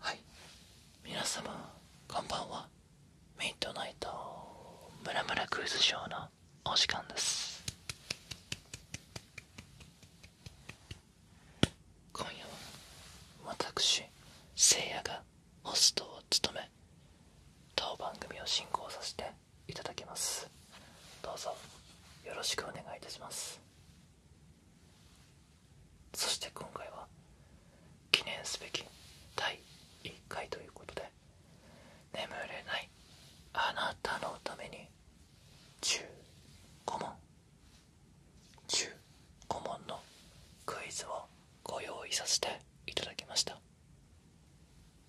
はい皆様こんばんはミッドナイトムラムラクイズショーのお時間です今夜は私せいやがホストを務め当番組を進行させていただきますどうぞよろしくお願いいたしますそして今回は記念すべき第1回ということで眠れないあなたのために15問15問のクイズをご用意させていただきました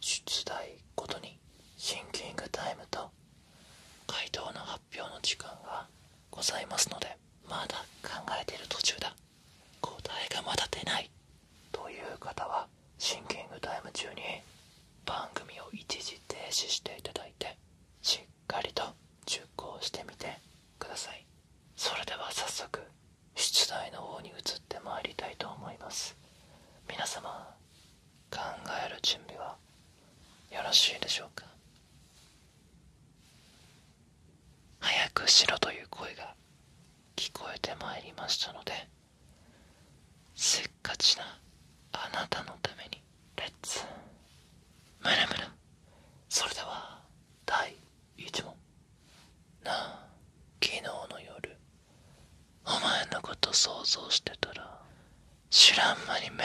出題ごとにシンキングタイムと回答の発表の時間がございますのでまだ考えている途中だ答えがまだ出ないという方はシンキングタイム中に番組を一時停止していただいてしっかりと熟考してみてくださいそれでは早速出題の方に移ってまいりたいと思います皆様考える準備はよろしいでしょうか早くしろという声が聞こえてまいりましたのでせっかちなあなたのためにレッツムラムラそれでは第1問なあ昨日の夜お前のこと想像してたら知らん間に目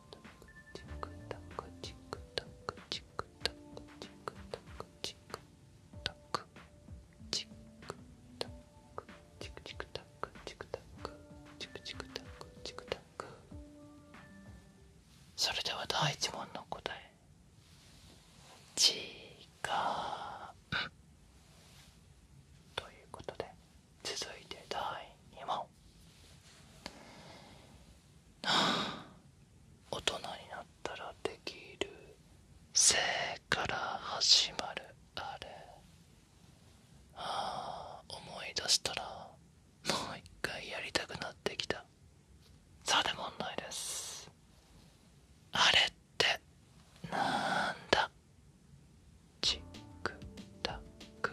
チクタクチクタクチクタクチクタクチクタクチクタクチクチクタクチクタクチクチクタクチクタクそれでは第一問の答えちがうということで続いて第2問大人になったらできるせから始まるあれああ思い出したらもう一回やりたくなってきたさて問題ですあれってなんだチクタク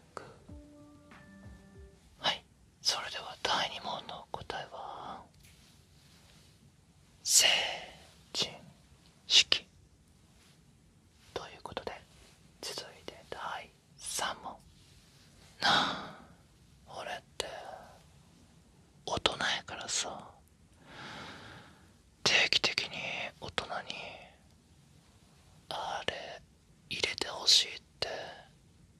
はいそれでは第2問の答えは成人式ということで続いて第3問なあ俺って大人やからさ定期的に大人にあれ入れてほしいって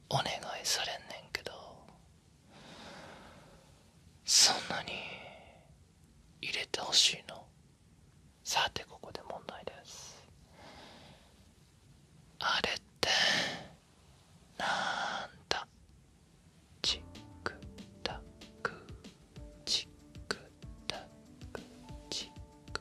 お願いされんねんけどそんなに入れてほしいのさてここで問題ですあれってなんだチックタックチックタックチック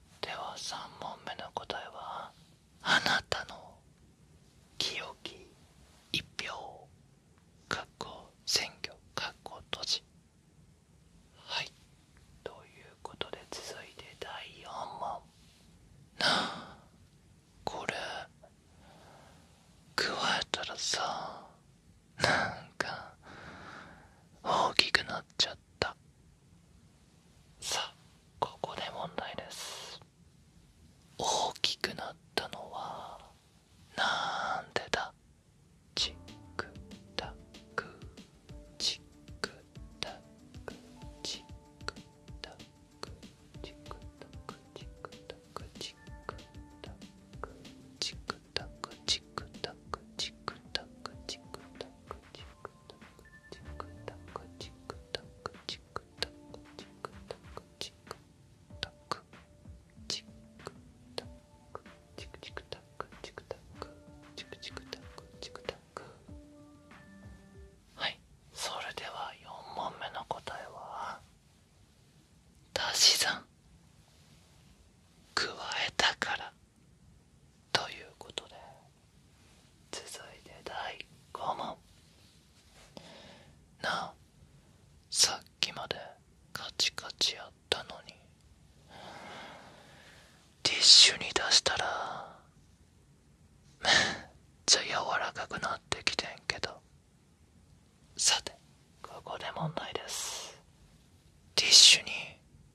では3問目の答えはあなたの記憶、一票かっ選挙かっ都市。はいということで続いて第4問なあこれ加えたらさなんか大きくなっちゃった。さあここで問題です大きくなったのはなんでだチクタクチクタクチクタクチクタクチクタクチクタクチククタクチクタクチクタクチクタクチクタクチクタクチクタクチクタクチクタクチクタクチクタクチクチクタクチクタクチクタクチクタクはいそれでは4問目の答えは足し算加えたからということで続いて第5問なあさっきまでカチカチやったのにティッシュに出したらめっちゃ柔らかくなってきてんけどさてここで問題ですティッシュに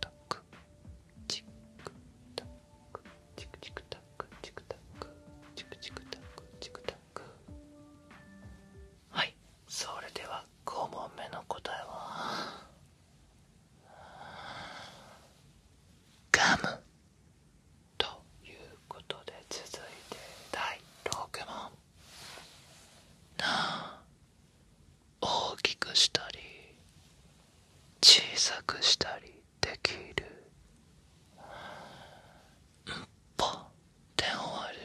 タククタクチクチクタクチクタクチクチクタクチクタクはいそれでは5問目の答えはガムということで続いて第6問なあ大きくしたり小さくしたりできる「んぽ」て終わる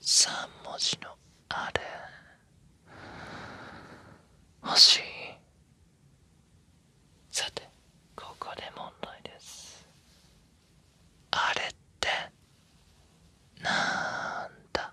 3文字のあれ欲しいさてここで問題ですあれってなんだ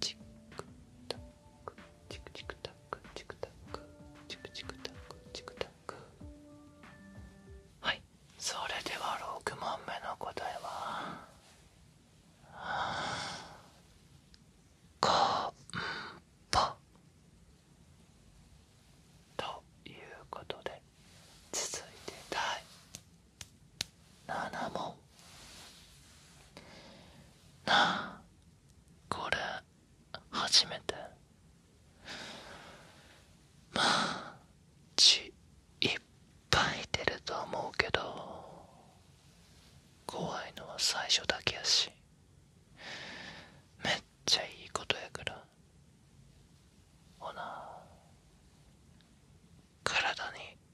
チックタクチクチクタクチクタックチクチクタックチクタックはいそれでは6問目の答えはああ。コん、ぽ。ということで続いて第7問なあ、これ初めてまあ血いっぱい出ると思うけど怖いのは最初だけやしめっちゃいいことやからほな体に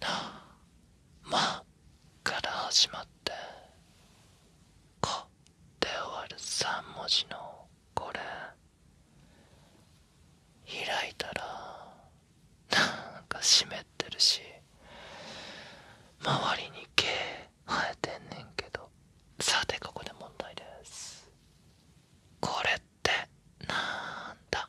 なまから始まってこって終わる3文字のこれ開いたらなんか湿ってるし周りに毛生えてんねんけどさてここで問題ですこれってなんだ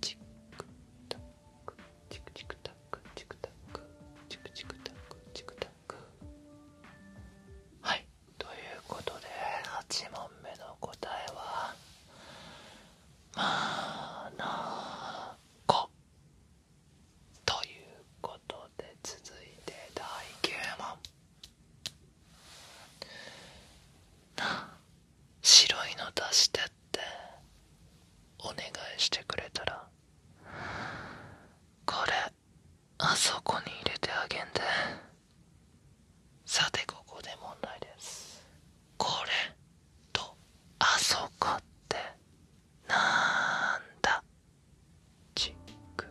チクタクチクチクタクチクタクチクチクタクチクタクはいということで8問目の答えはまあ、なこということで続いて第9問な白いの出してってお願いしてくれたらこれあそこに入れてあげんでさてここで問題ですこれとあそこってなんだチク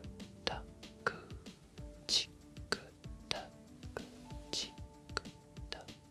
タクチクタクチクタク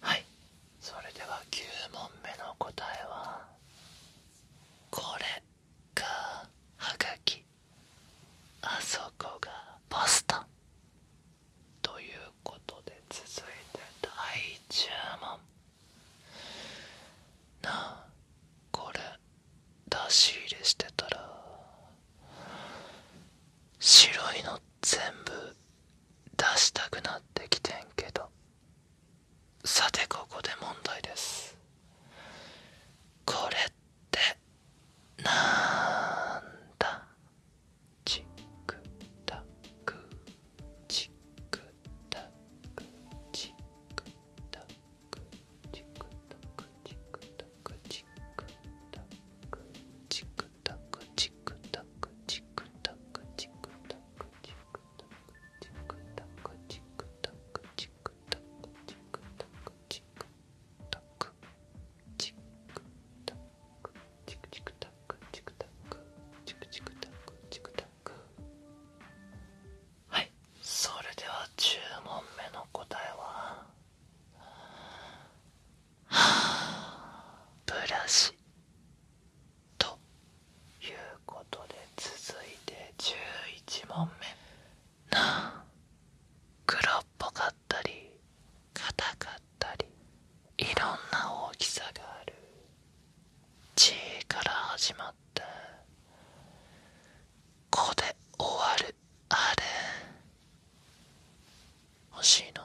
はいそれでは9問目の答えはこれがはがきあそこがパスタということで続いて第10問なあこれ出し入れしてたら白いのって。全部出したくなってきてんけどさてここで問題ですこれってなんだチクタクチクタクチクタクチクタクチクタクチクタクチクタクチクタクチクタクチクタクチクタクチクタクチクタクチクタクチクタクチクタクチクタクチクチクタクチクタクチクチクタクチクタクはいそれでは10問目の答えはブラシということで続いて11問目な黒っぽかったり硬かったりいろんな大きさがある「血から始まって「こ」で終わるあれ欲しいの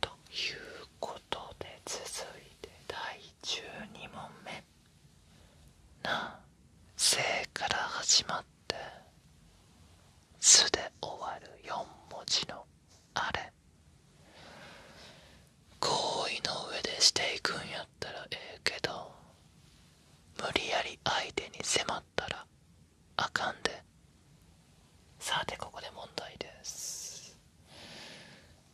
ということで続いて第12問目な「せ」から始まって「す」で終わる4文字のあれ合意の上でしていくんやったらええけど無理やり相手に迫ったらあかんでさてここで問題です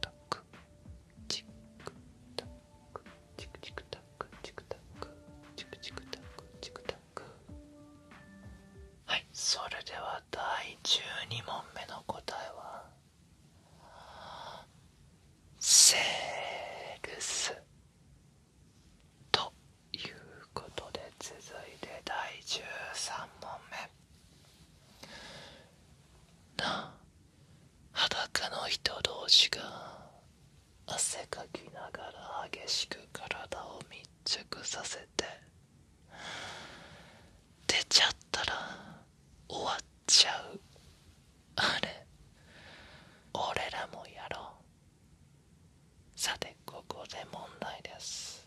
タククタクチクチクタクチクタクチクチクタクチクタクはいそれでは第12問目の答えはセールスということで続いて第13問目な裸の人同士が汗かきながら激しく体を密着させて出ちゃったら終わっちゃうあれ俺らもやろうさてここで問題です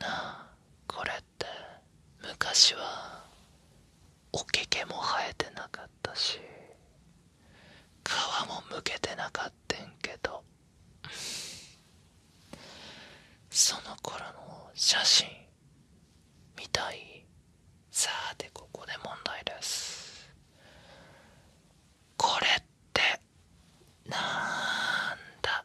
なあこれって昔はおけけも生えてなかったし皮もむけてなかったんけどその頃の写真みたいさあ、で、ここで問題ですこれってなんだ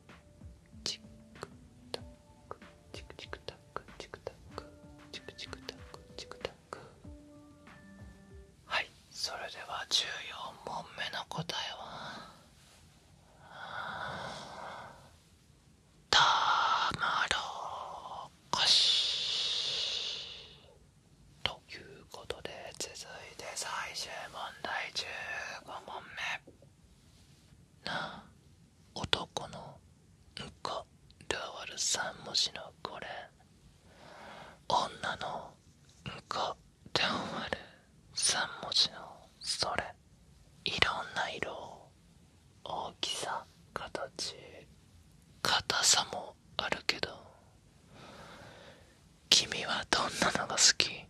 チクタクチクチクタクチクタクチクチクタクチクタクはいそれでは14問目の答えはたまろこしということで続いて最終問題15問目な男のうんこで終わる3文字のこれ女のうんこで終わる3文字のそれいろんな色大きさ形硬さもあるけど君はどんなのが好き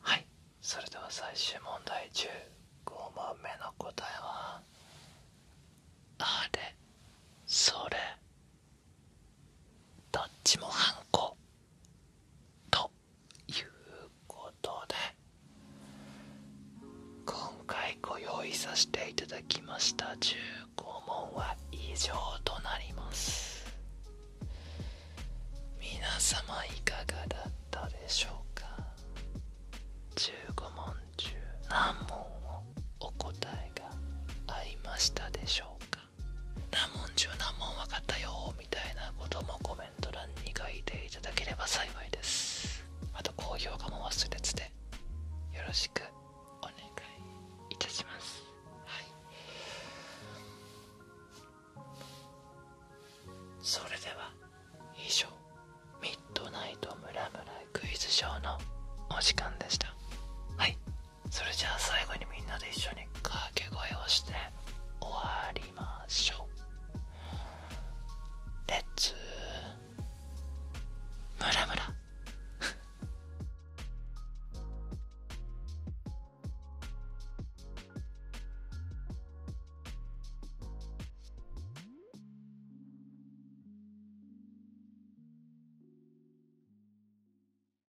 はいそれでは最終問題15番目の答えはあれそれどっちもハンコということで今回ご用意させていただきました15問は以上となります皆様いかがだったでしょうか15問中何問をお答えがありましたでしょうか何問中何問分かったよみたいなこともコメント欄に書いていただければ幸いですあと高評価も忘れずでよろしくお願いいたしますはいそれでは以上ミッドナイトムラムラクイズショーのお時間でしたはいそれじゃあ最後にみんなで一緒に掛け声をして終わりましょうレッツムラムラ